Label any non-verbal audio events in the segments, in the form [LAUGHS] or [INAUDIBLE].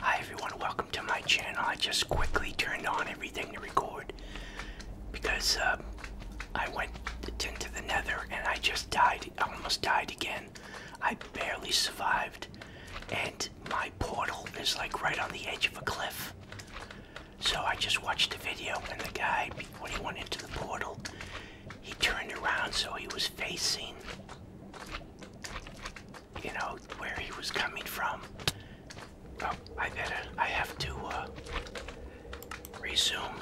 Hi everyone, welcome to my channel. I just quickly turned on everything to record because um, I went into the nether and I just died, almost died again. I barely survived and my portal is like right on the edge of a cliff. So I just watched the video and the guy, when he went into the portal, he turned around so he was facing you know, where he was coming from. Oh, I better, I have to uh, resume.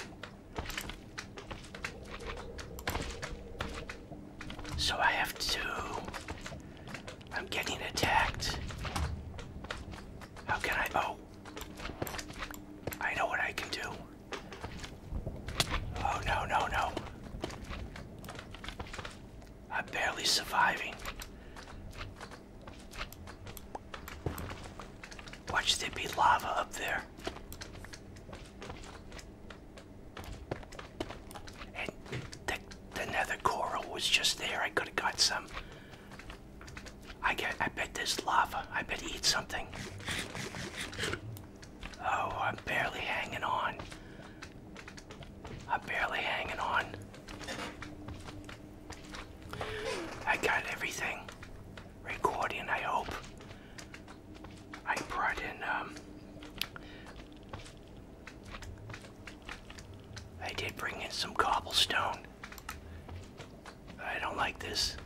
So I have to, I'm getting attacked. How can I, oh, I know what I can do. Oh, no, no, no. I'm barely surviving. Watch there be lava up there. And the, the nether coral was just there. I could have got some. I get. I bet there's lava. I bet eat something. Oh, I'm barely hanging on. I'm barely hanging on. I got everything recording, I hope. I brought in, um, I did bring in some cobblestone. I don't like this.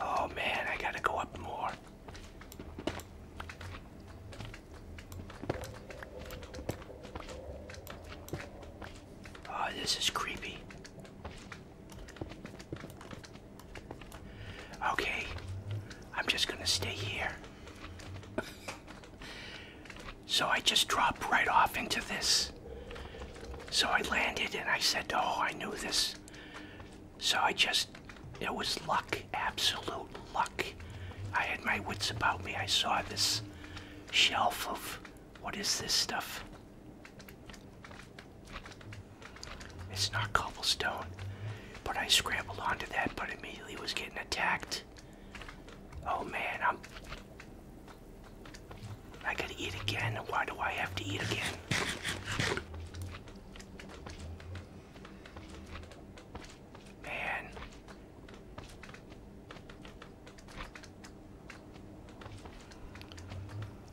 Oh man, I gotta go up more. Oh, this is creepy. Okay, I'm just gonna stay here. so I just dropped right off into this. So I landed and I said, Oh, I knew this. So I just, it was luck absolute luck. I had my wits about me. I saw this shelf of what is this stuff? It's not cobblestone, but I scrambled onto that, but immediately was getting attacked. Oh man, I'm. I gotta eat again. Why do I have to eat again? Man.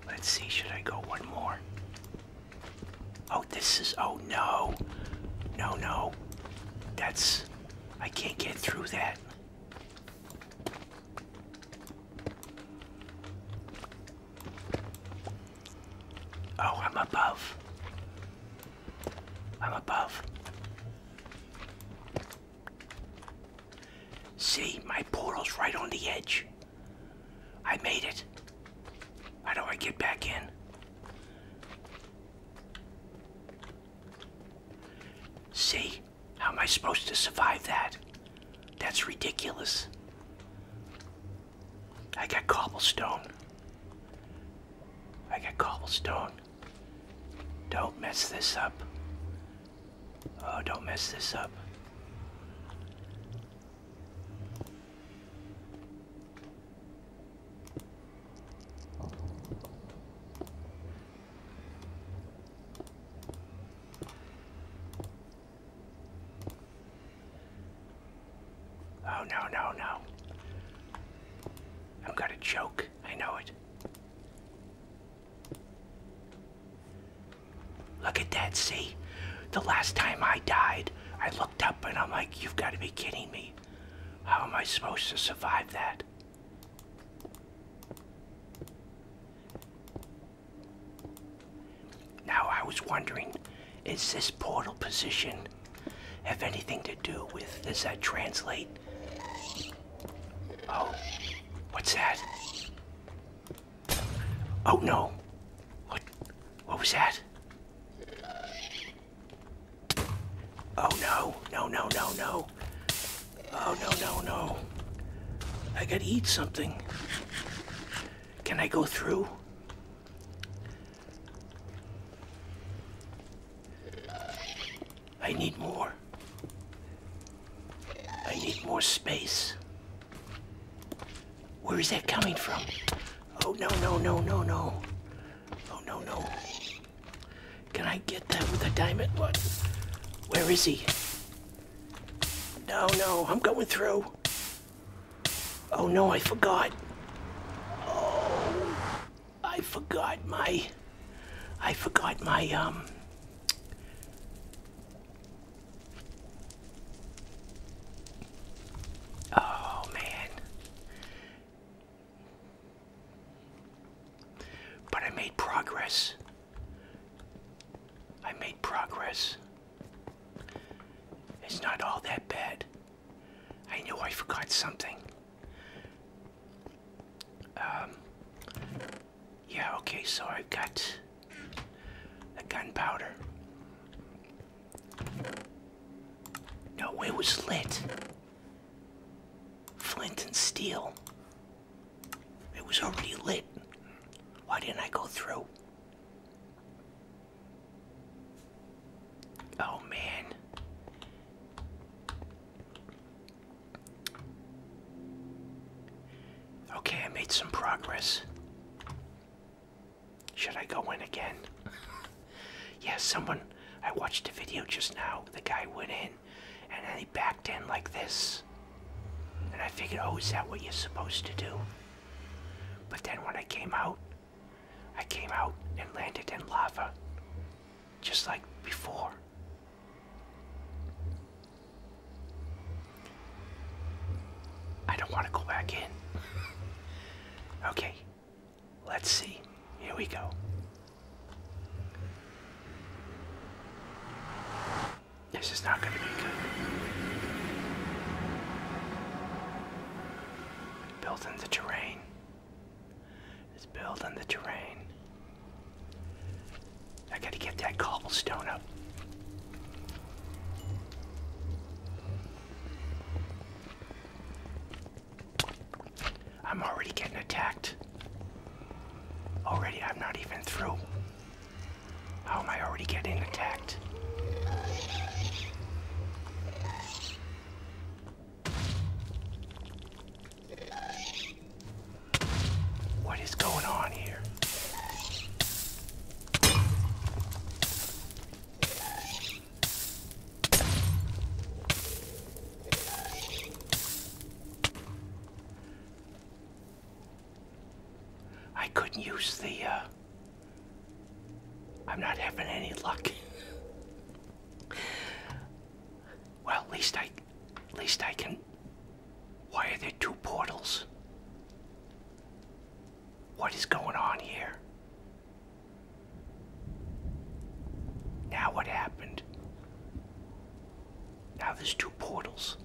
Let's see, should I go one more? Oh, this is, oh no. No, no. That's, I can't get through that. Oh, I'm above. I'm above. See, my portal's right on the edge. I made it. How do I get back in? See, how am I supposed to survive that? That's ridiculous. I got cobblestone. I got cobblestone. Don't mess this up. Oh, don't mess this up. Oh, no, no, no. I'm gonna choke. I know it. Look at that, see? The last time I died, I looked up and I'm like, you've got to be kidding me. How am I supposed to survive that? Now I was wondering, is this portal position have anything to do with. Does that translate? Oh, what's that? Oh no. What what was that? Oh no, no, no, no, no. Oh no, no, no. I gotta eat something. Can I go through? I need more. I need more space. Where is that coming from? Oh, no, no, no, no, no. Oh, no, no. Can I get that with a diamond? What? Where is he? No, no, I'm going through. Oh, no, I forgot. Oh, I forgot my. I forgot my, um. Oh, man. But I made progress. I made progress. It's not all that bad. I knew I forgot something. Um, yeah, okay, so I've got a gunpowder. No, it was lit. Flint and steel. It was already lit. Why didn't I go through? Oh man. Okay, I made some progress. Should I go in again? [LAUGHS] Yes, someone. I watched a video just now. The guy went in and then he backed in like this. And I figured, oh, is that what you're supposed to do? But then when I came out, I came out and landed in lava, just like before. I don't want to go back in. [LAUGHS] okay, let's see. Here we go. This is not going to be good. Built the terrain. Let's build on the terrain. I gotta get that cobblestone up. I'm already getting attacked. Already, I'm not even through. How am I already getting attacked? What is going on here? I couldn't use the, uh, I'm not having any luck. Well, at least I, at least I can. Why are there two portals? What is going on here? Now what happened? Now there's two portals.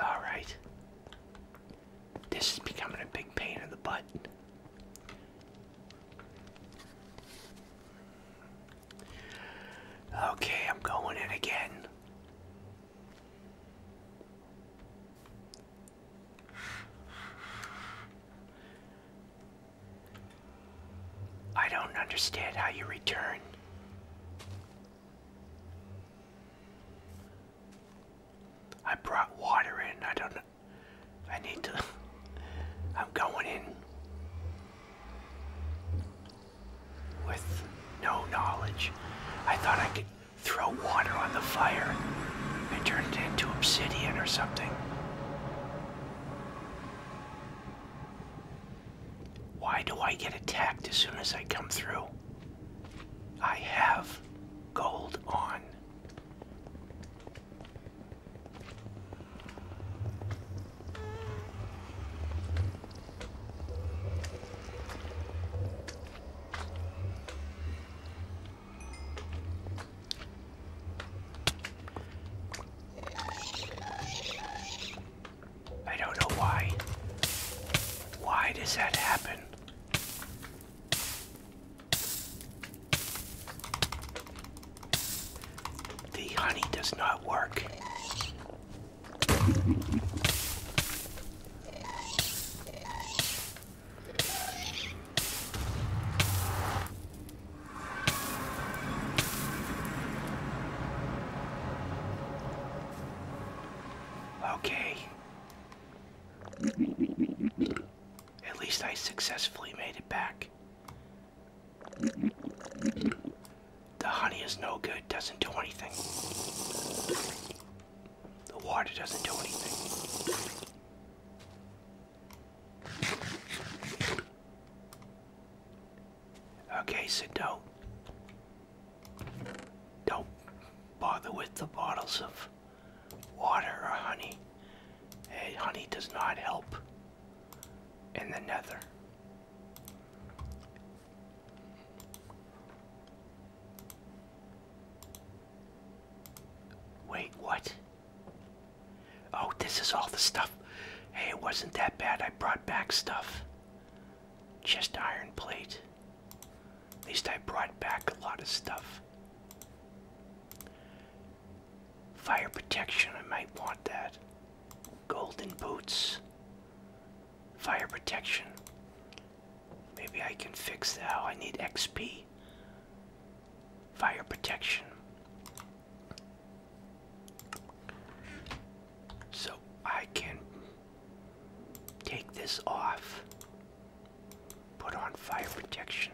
Alright. This is becoming a big pain in the butt. Okay, I'm going in again. I don't understand how you return. I brought water in. I don't know. I need to. [LAUGHS] I'm going in with no knowledge. I thought I could throw water on the fire and turn it into obsidian or something. Why do I get attacked as soon as I come through? I have gold on. I don't know why. Why does that happen? The honey does not work. Okay. At least I successfully made it back. The honey is no good, doesn't do anything. The water doesn't do anything. Okay, so no. Don't bother with the bottles of water or honey. honey does not help in the nether. Wait, what? Oh, this is all the stuff. Hey, it wasn't that bad. I brought back stuff. Just iron plate. At least I brought back a lot of stuff. Fire protection, I might want that. Golden boots. Fire protection. Maybe I can fix that. Oh, I need XP. Fire protection. So I can Take this off. Put on fire protection.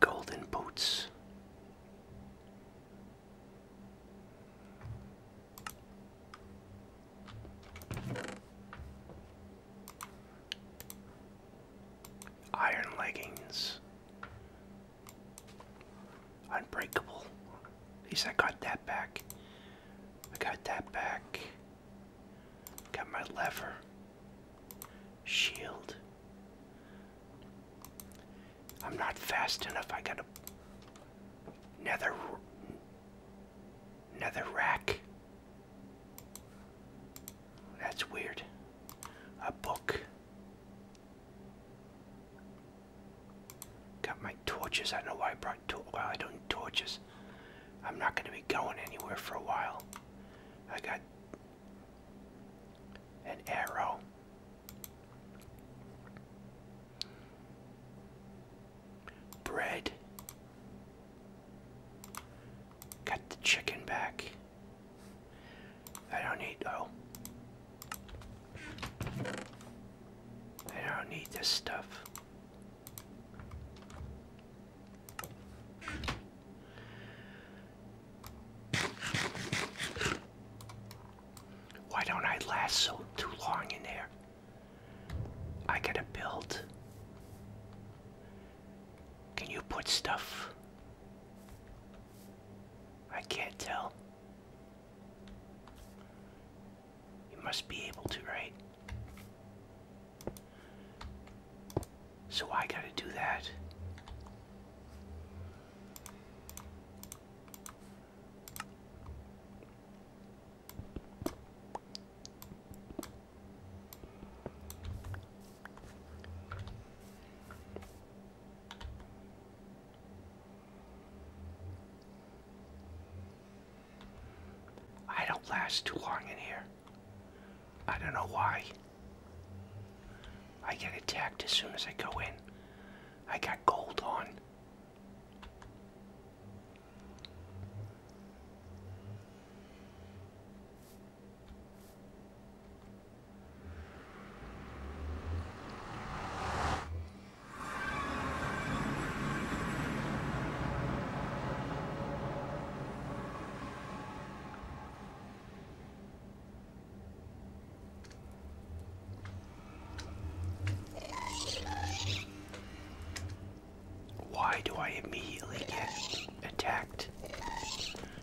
Golden boots. Iron leggings. Unbreakable. At least I got that back. I got that back. Got my lever. Shield. I'm not fast enough. I got a nether nether rack. That's weird. A book. Got my torches. I don't know why I brought torches. Well, I don't torches. I'm not going to be going anywhere for a while. I got an arrow. Bread. Got the chicken back. I don't need. Oh. I don't need this stuff. Why don't I last so too long in there? I gotta build. Can you put stuff? I can't tell. You must be able to, right? So I gotta do that. I don't last too long in here. I don't know why. I get attacked as soon as I go in. I got gold on. Why do I immediately get attacked?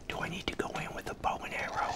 Do I need to go in with a bow and arrow?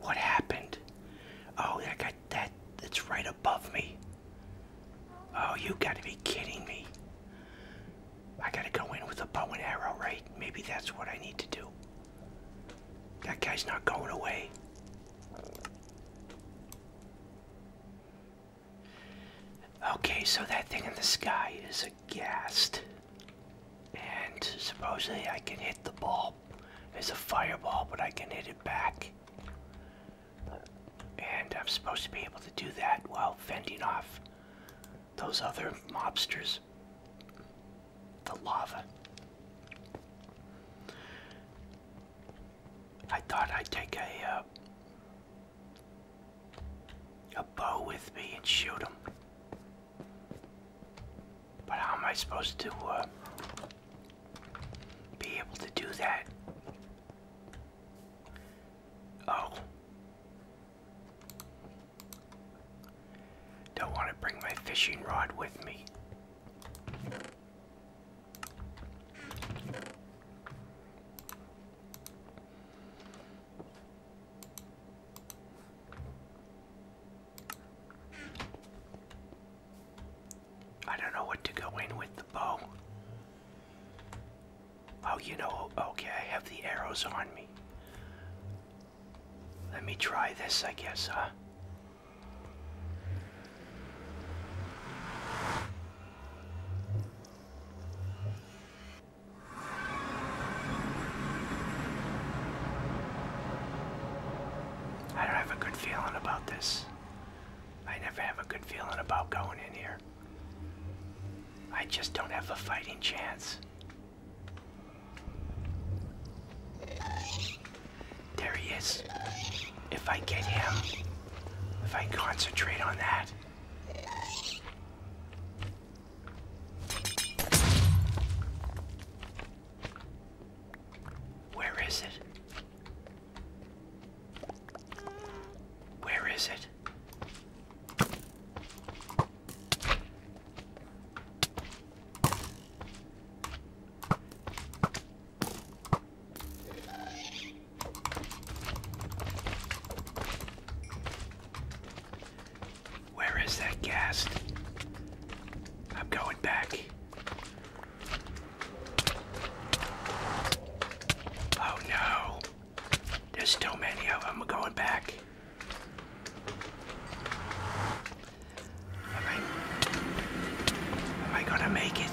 What happened? Oh, I got that. That's right above me. Oh, you gotta be kidding me. I gotta go in with a bow and arrow, right? Maybe that's what I need to do. That guy's not going away. Okay, so that thing in the sky is a ghast. And supposedly I can hit the ball. It's a fireball, but I can hit it back. And I'm supposed to be able to do that while fending off those other mobsters. The lava. I thought I'd take a uh, a bow with me and shoot him. But how am I supposed to uh, be able to do that? Oh. Don't want to bring my fishing rod with me. I don't know what to go in with the bow. Oh, you know, okay, I have the arrows on me. Let me try this, I guess, huh? I have a good feeling about this. I never have a good feeling about going in here. I just don't have a fighting chance. There he is. If I get him, if I concentrate on that, where is it? Where is it? Where is that gas? I'm going back. Oh no. There's too many of them going back. am I gonna make it?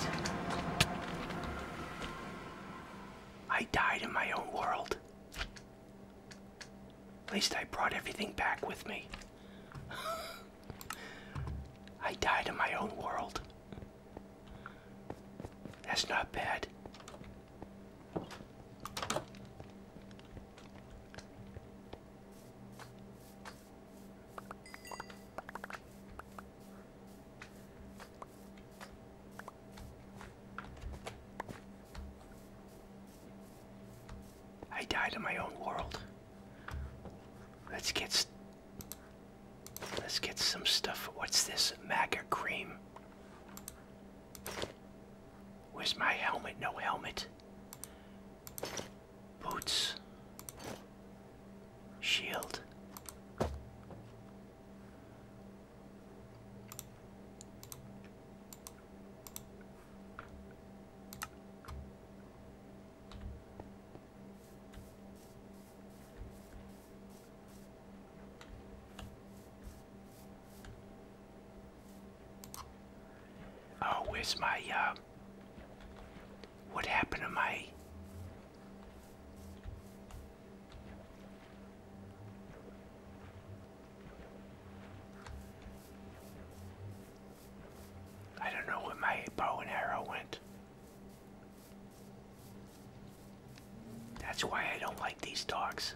I died in my own world. At least I brought everything back with me. [LAUGHS] I died in my own world. That's not bad. I died in my own world. Let's get let's get some stuff. What's this maca cream? Where's my helmet? No helmet. Boots. Shield. Oh, where's my, uh, what happened to my I don't know where my bow and arrow went. That's why I don't like these dogs.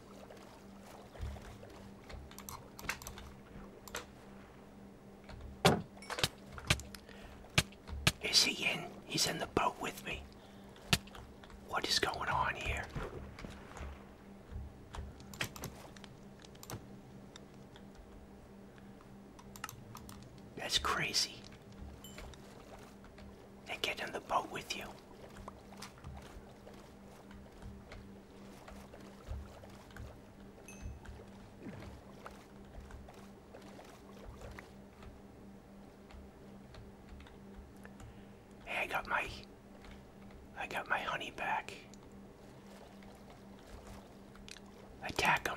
Is he in? He's in the boat with me. What is going on here? That's crazy. They get in the boat with you. Hey, I got my I got my honey back. Attack him.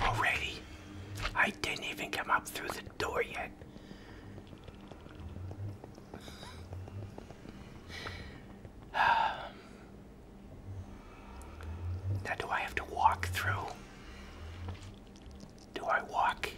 Already, I didn't even come up through the door yet. [SIGHS] now, do I have to walk through? Do I walk?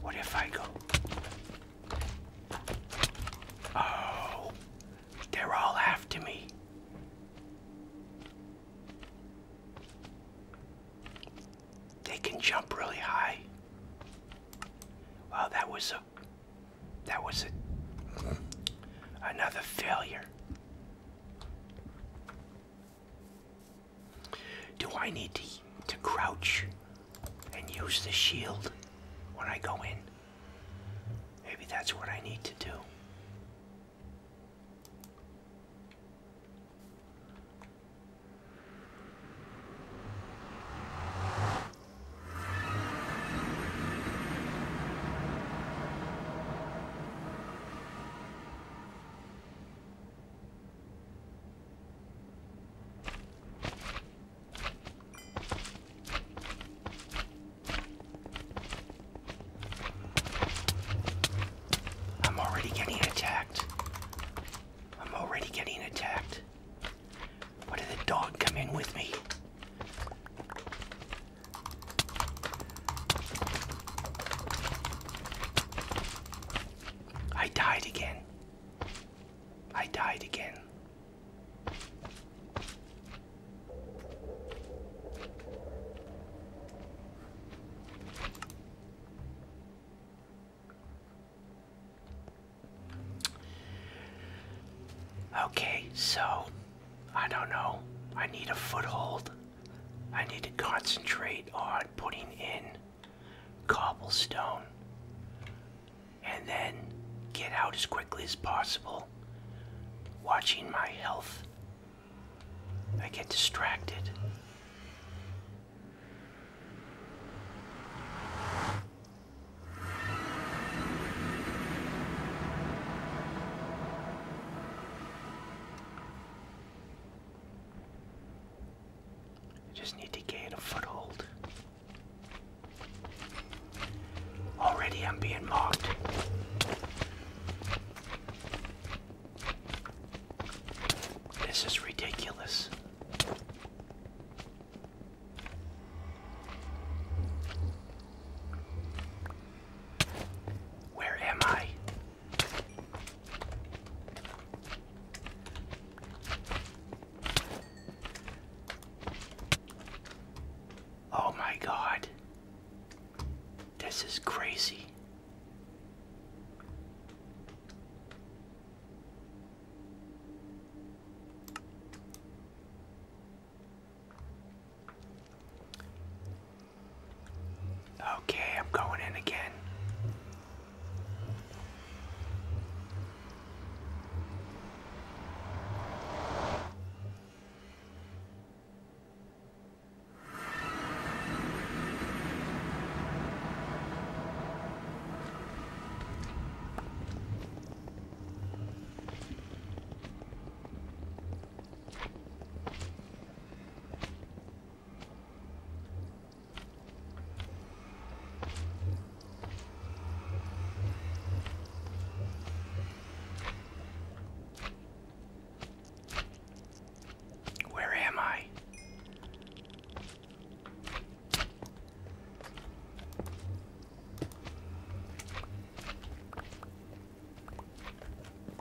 What if I go? Oh, they're all after me. They can jump really high. Well, that was a that was a another failure. Do I need to, to crouch and use the shield when I go in? Maybe that's what I need to do. I'm already getting attacked. I'm already getting attacked. What did the dog come in with me? I died again. I died again. Okay, so I don't know. I need a foothold. I need to concentrate on putting in cobblestone and then get out as quickly as possible, watching my health. I get distracted. I just need to gain a foothold. Already I'm being mocked. This is ridiculous. Where am I? Oh my god. This is crazy. Okay, I'm going in again. Where am I?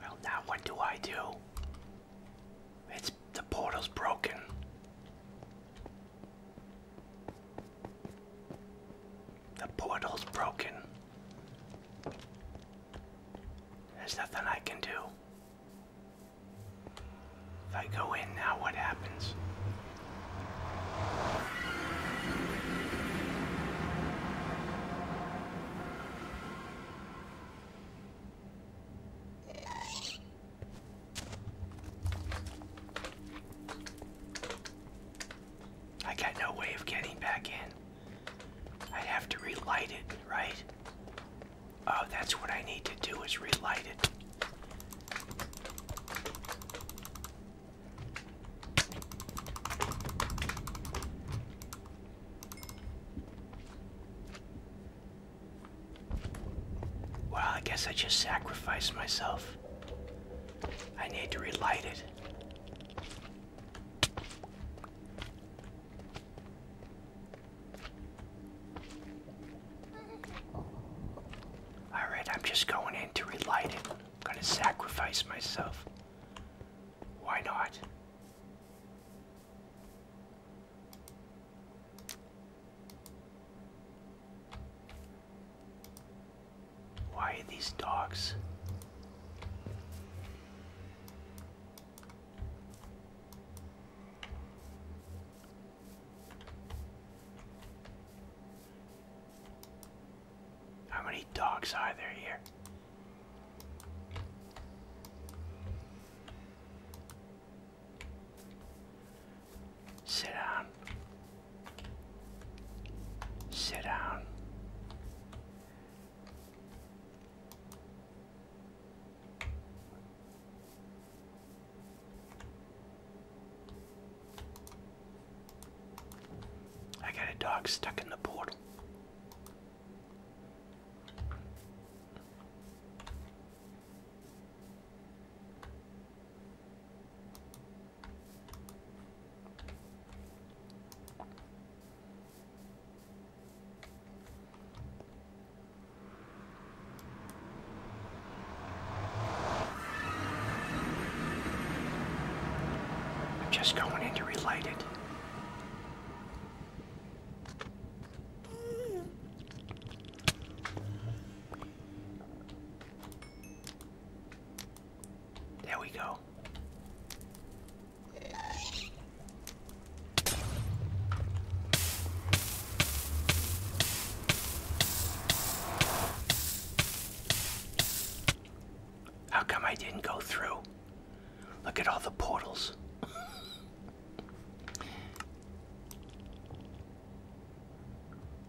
Well, now what do I do? It's the portal's broken. The portal's broken. There's nothing I can do. If I go in now, what happens? I got no way of getting back in. i have to relight it, right? Oh, that's what I need to do is relight it. Well, I guess I just sacrificed myself. I need to relight it. Alright, I'm just going in to relight it. I'm gonna sacrifice myself. Why not? Why these dogs? How many dogs are there here? Sit down. Sit down. I got a dog stuck in the portal. I'm just going in to relight it. There we go. How come I didn't go through? Look at all the portals.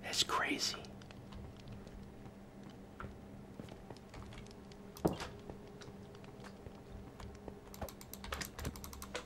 That's crazy.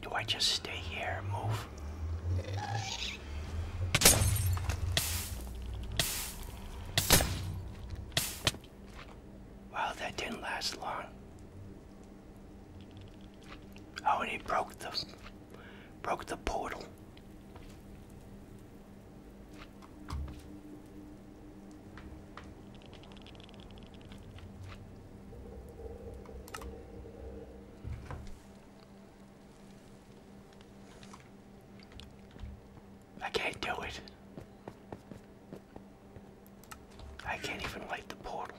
Do I just stay here move? Well, that didn't last long. Oh, and he broke the broke the portal. I can't do it. I can't even light the portal.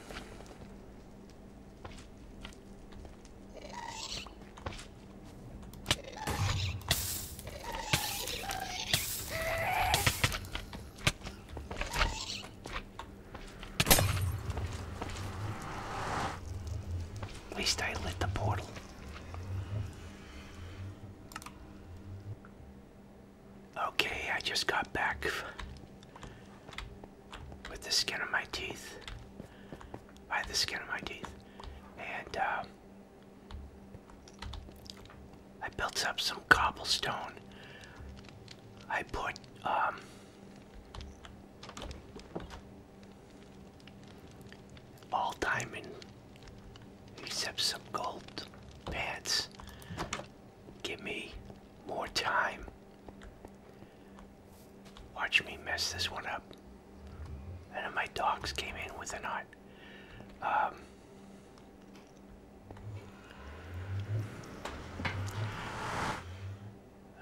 At least I lit the portal. Okay, I just got back with the skin of my teeth. By the skin of my teeth. And um, I built up some cobblestone. I put um, all diamond except some gold pants Give me more time. Watch me mess this one up. And my dogs came in with a knot. Um,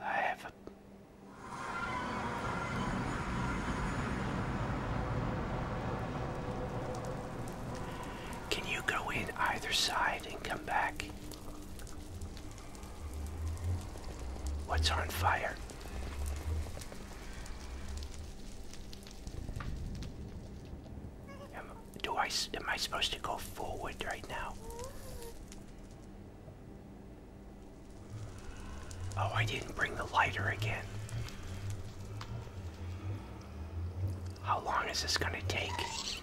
I have Can you go in either side and come back? What's on fire? Am, do I, am I supposed to go forward right now? Oh, I didn't bring the lighter again. How long is this gonna take?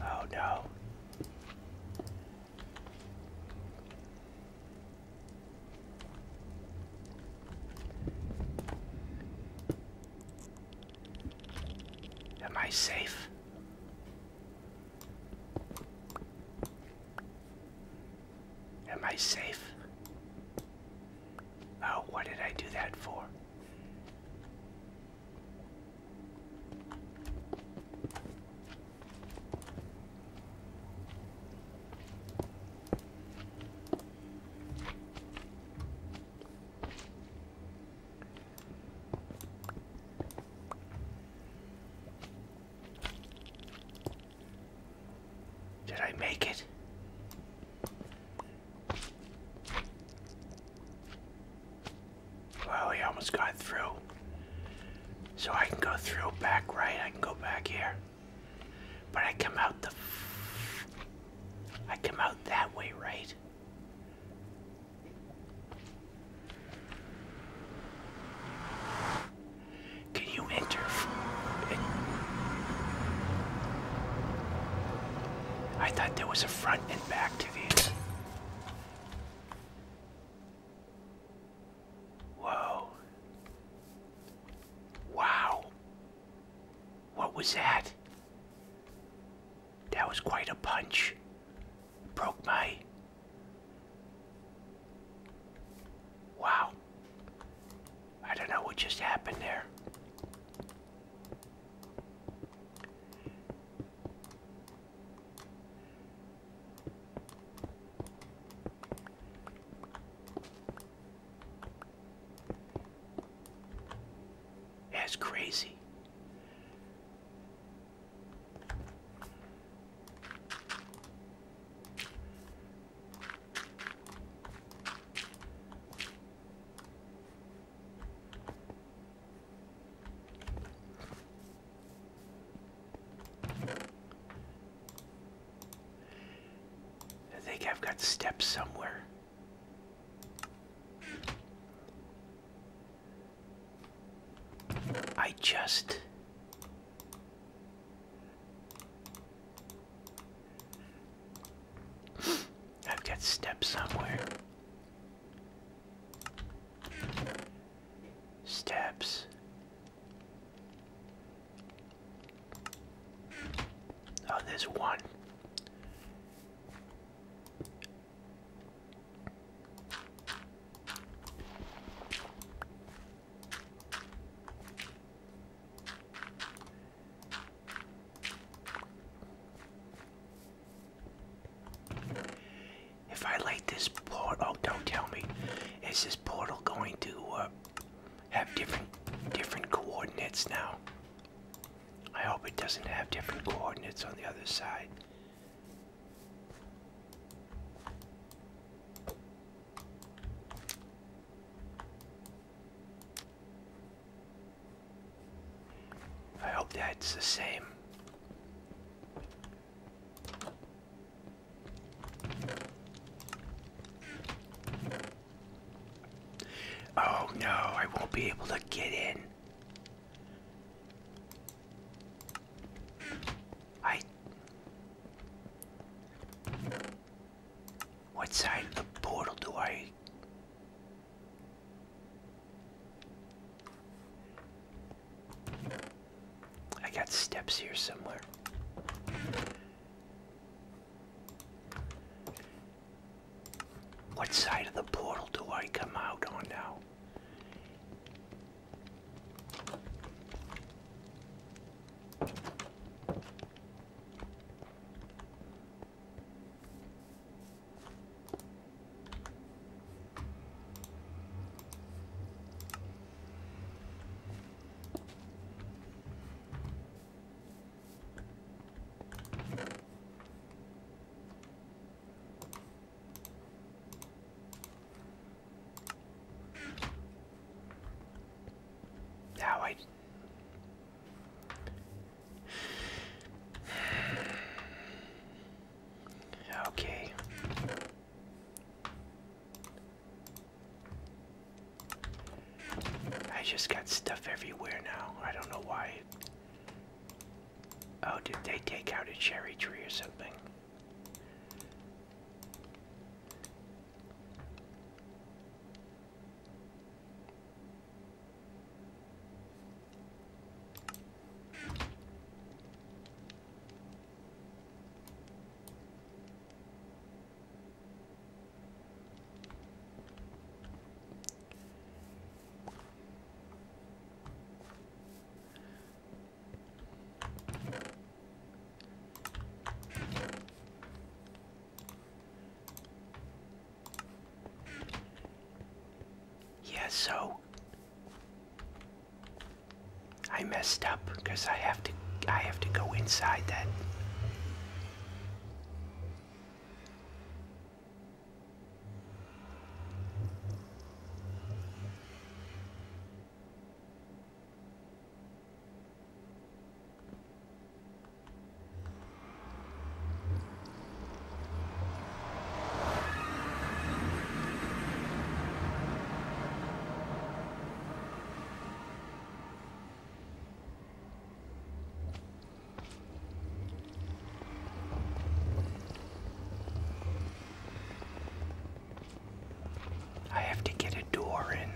Oh no. Am I safe? Am I safe? Oh, what did I do that for? Did I make it? Well, he almost got through. So I can go through back right, I can go back here. But I come out the... I come out that way, right? Can you enter? I thought there was a front and back to these. Whoa. Wow. What was that? That was quite a punch. Broke my. Wow. I don't know what just happened there. That's crazy. I think I've got steps somewhere. I just [GASPS] I've got steps somewhere. Steps. Oh, there's one. If I light this portal, oh, don't tell me. Is this portal going to uh, have different different coordinates now? I hope it doesn't have different coordinates on the other side. I hope that's the same. Oh no, I won't be able to get in. I. What side of the portal do I I got steps here somewhere. What side of the portal do I come out on now? Now I Okay. I just got stuff everywhere now. I don't know why. Oh, did they take out a cherry tree or something? Yes. so I messed up because I have to I have to go inside that. I have to get a door in.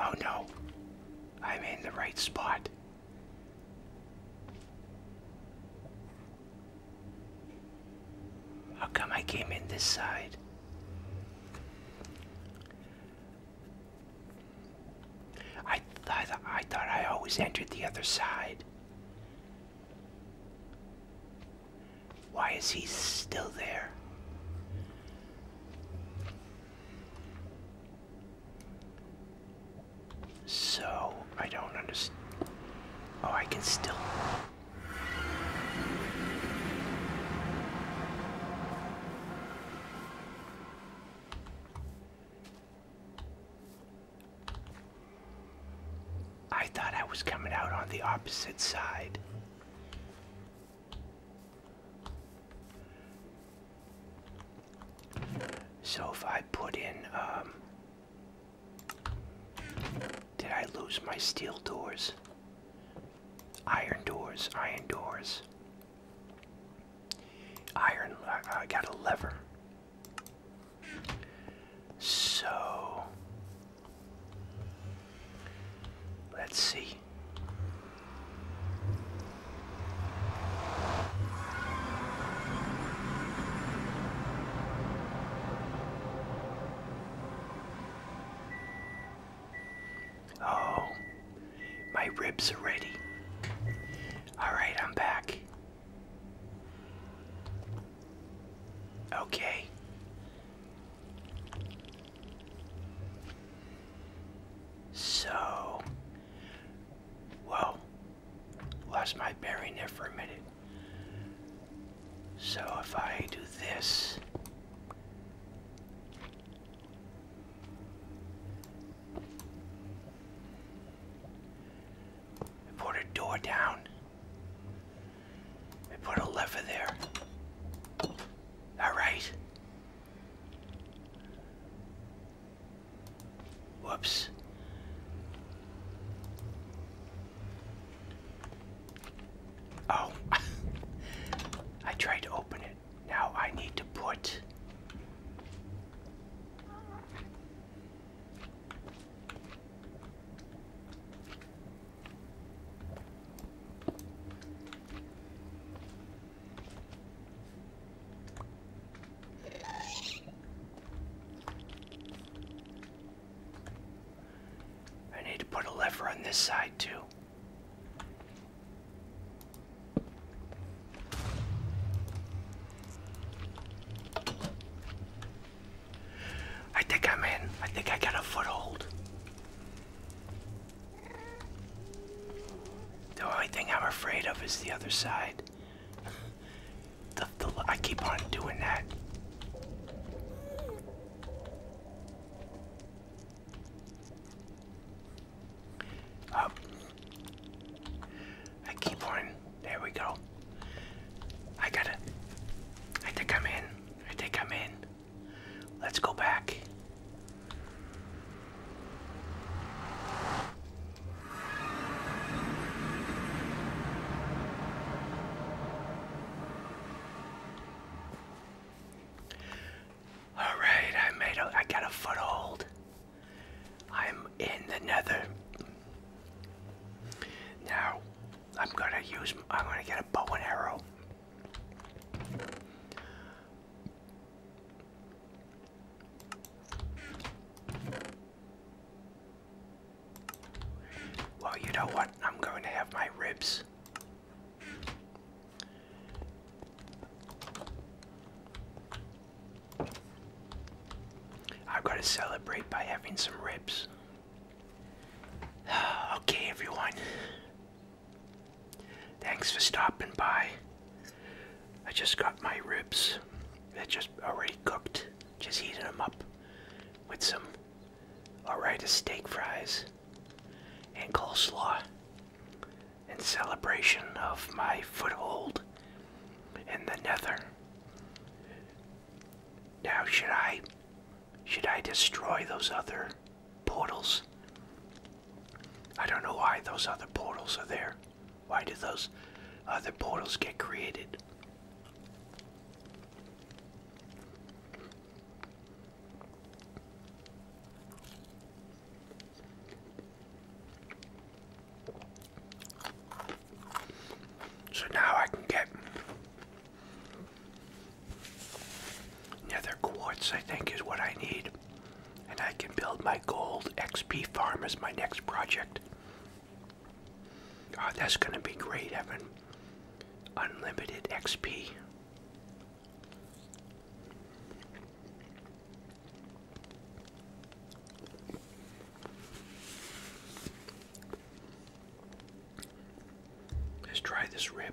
Oh no, I'm in the right spot. How come I came in this side? I th I thought I always entered the other side. Why is he still there? So, I don't understand. Oh, I can still. I thought I was coming out on the opposite side. So if I put in um, did I lose my steel doors? Iron doors, iron doors. Iron, I, got a lever. So, let's see. Oh, my ribs are ready. All right, I'm back. Okay. So, whoa, lost my bearing there for a minute. So if I do this, I put a door down, I put a lever there. All right. Whoops. Oh, [LAUGHS] I tried to open it. Now I need to put. I need to put a lever on this side too. I think I'm in. I think I got a foothold. The only thing I'm afraid of is the other side. I keep on doing that. Up. I keep on. There we go. I got it. I think I'm in. I think I'm in. Let's go back. All right, I made a, I got a foothold. I'm in the nether. Now, I'm gonna use, I'm gonna get a bow and arrow. Well, you know what? I'm going to have my ribs. i am going to celebrate by having some ribs. [SIGHS] okay, everyone. Thanks for stopping by. I just got my ribs. They're just already cooked. Just heating them up with some Alright, steak fries and coleslaw in celebration of my foothold in the nether. Now, should I should I destroy those other portals? I don't know why those other portals are there. Why do those other portals get created? So now I can get nether quartz, I think, is what I need. And I can build my gold XP farm as my next project. Oh, that's going to be great Evan. unlimited XP. Let's try this rib.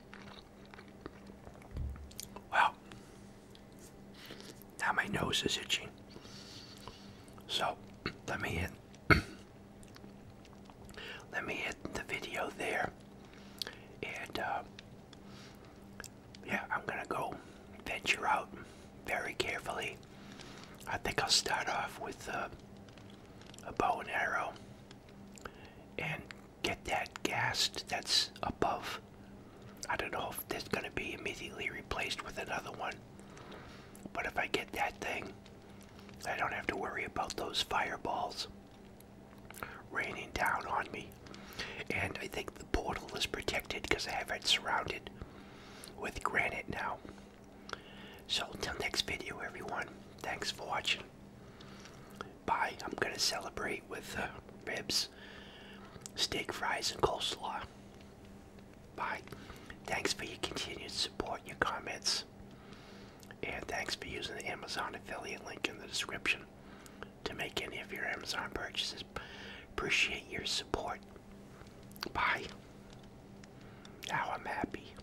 Well, now my nose is itching. So [CLEARS THROAT] let me hit [CLEARS THROAT] let me hit the video there. And uh, yeah, I'm gonna go venture out very carefully. I think I'll start off with uh, a bow and arrow and get that gas that's above. I don't know if that's going to be immediately replaced with another one, but if I get that thing, I don't have to worry about those fireballs raining down on me. And I think the portal is protected because I have it surrounded with granite now. So till next video everyone, thanks for watching. Bye. I'm gonna celebrate with uh, ribs, steak fries, and coleslaw. Bye. Thanks for your continued support and your comments. And thanks for using the Amazon affiliate link in the description to make any of your Amazon purchases. Appreciate your support. Bye. Now I'm happy.